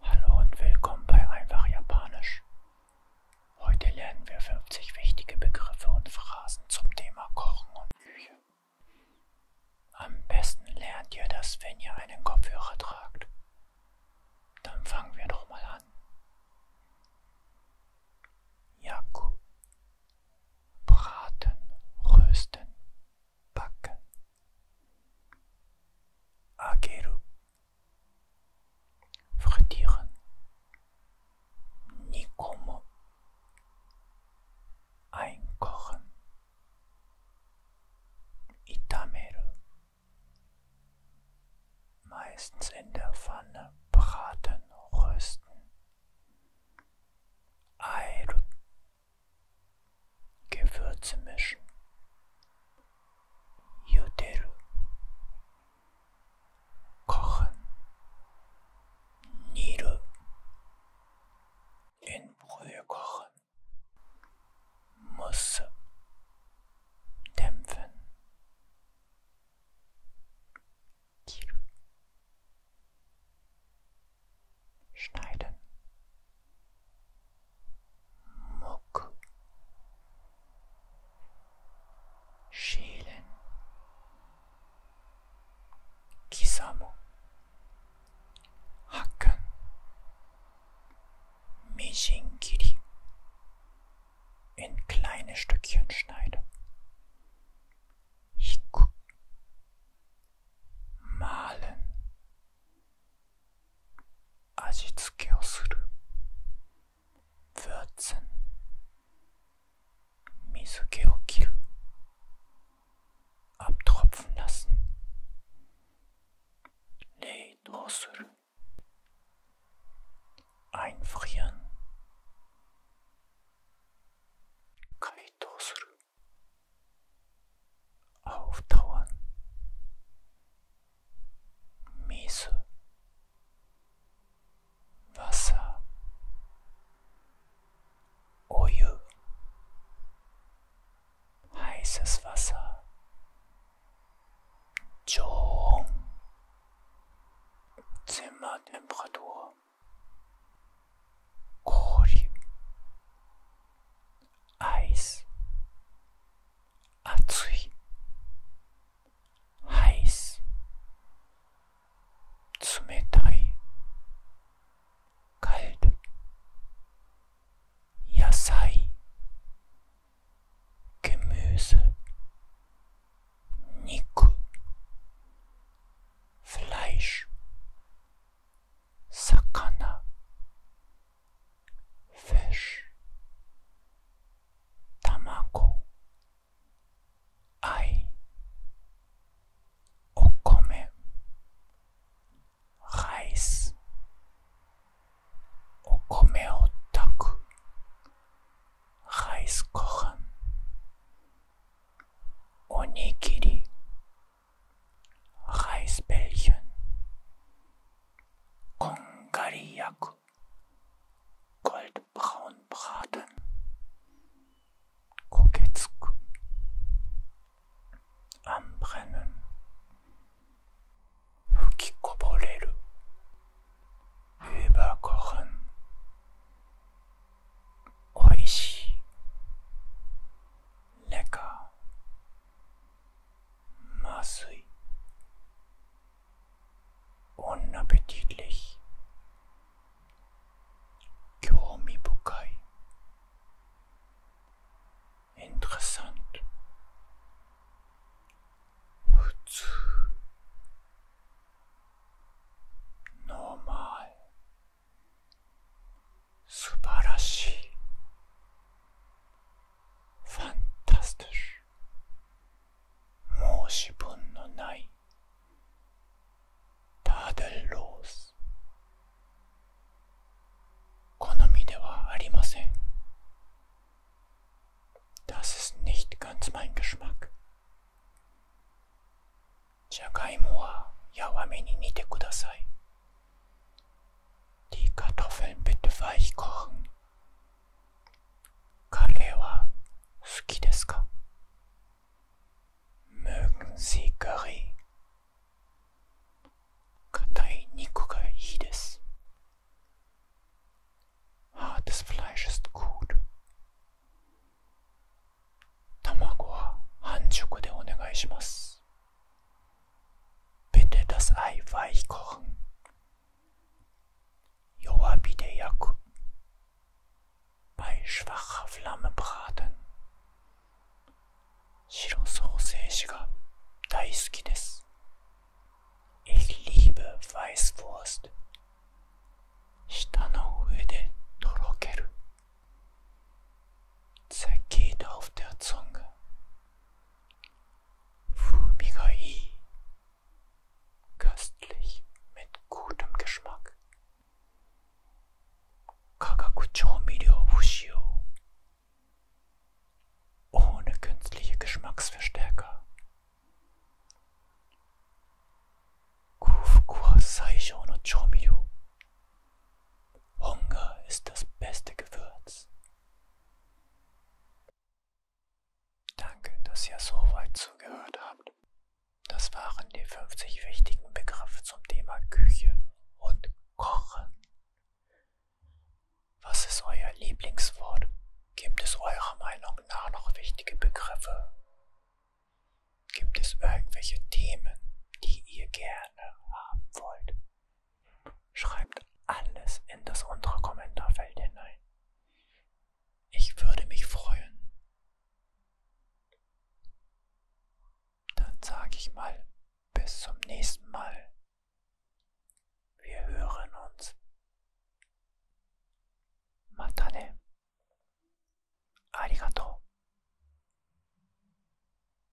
Hallo und willkommen bei Einfach Japanisch. Heute lernen wir 50 wichtige Begriffe und Phrasen zum Thema Kochen und Küche. Am besten lernt ihr das, wenn ihr einen Kopfhörer tragt. Dann fangen wir doch mal an. Yaku. Braten, rösten. pakken. Ageru. Verdieren. Niet komen. Einkochen. Itameru. Meistens in der Pfanne braten, rösten. Airu. Gewürze mischen. Yoderu. Kochen. Niru. In Brühe kochen. Musse. Dämpfen. Kiru schneiden. Muck. Schälen. Kisamu. Hacken. Mishinkiri. In kleine Stückchen schneiden. Hiku. Malen. 味付けをする würzen 水気を切る abtropfen lassen 冷凍する einfrieren 解凍する auftauen. Miese. Wasser. Oje. Heißes Wasser. Jong. Zimmertemperatur. Kori. Eis. Atsui. Heiß. Tsumetai. Kalt. Yasai. Gemüse. Niku. Fleisch. 魚 fish 卵愛お米 rice お米を炊く rice ご飯おにぎり Reisbällchen, Kongariak, Goldbraunbraten, Koketzk, am Brennen, Fukikoboreru, überkochen, Oishi, lecker, 麻酔 unappetitlich Kyomibukai interessant normal 素晴らしい。ファンタスティッシュ。申し分のない。ターデルロース。好みではありません。Das ist n i c g e s c h m a c k じゃがいもはやわめに煮てください。Die Kartoffeln bitte weich kochen. Karewa Sukideska. Mögen Sie Curry? Katai Niku ga iides. Hartes Fleisch ist gut. Tamago wa hanshoku de onegai shimasu. Bitte das Ei weich kochen. Yowabi de Yaku. Bei schwacher Flamme braten. Shiro Soseji ga daisuki desu. Ich liebe Weißwurst. 舌の上でとろける zergeht auf der Zunge. Fumigai, köstlich mit gutem Geschmack. Kagakuchōmiryo Fushio, ohne künstliche Geschmacksverstärker. Kufuku wa saishō no chōmiryo Hunger ist das beste Gewürz. Danke, dass ihr so weit zugehört habt. Das waren die 50 wichtigen Begriffe zum Thema Küche und Kochen. Was ist euer Lieblingswort? Gibt es eurer Meinung nach noch wichtige Begriffe? Gibt es irgendwelche Themen, die ihr gerne haben wollt? Schreibt alles in das untere Kommentarfeld hinein. Ich würde mich freuen. Dann sage ich mal, bis zum nächsten Mal. Wir hören uns. Matane. Arigato.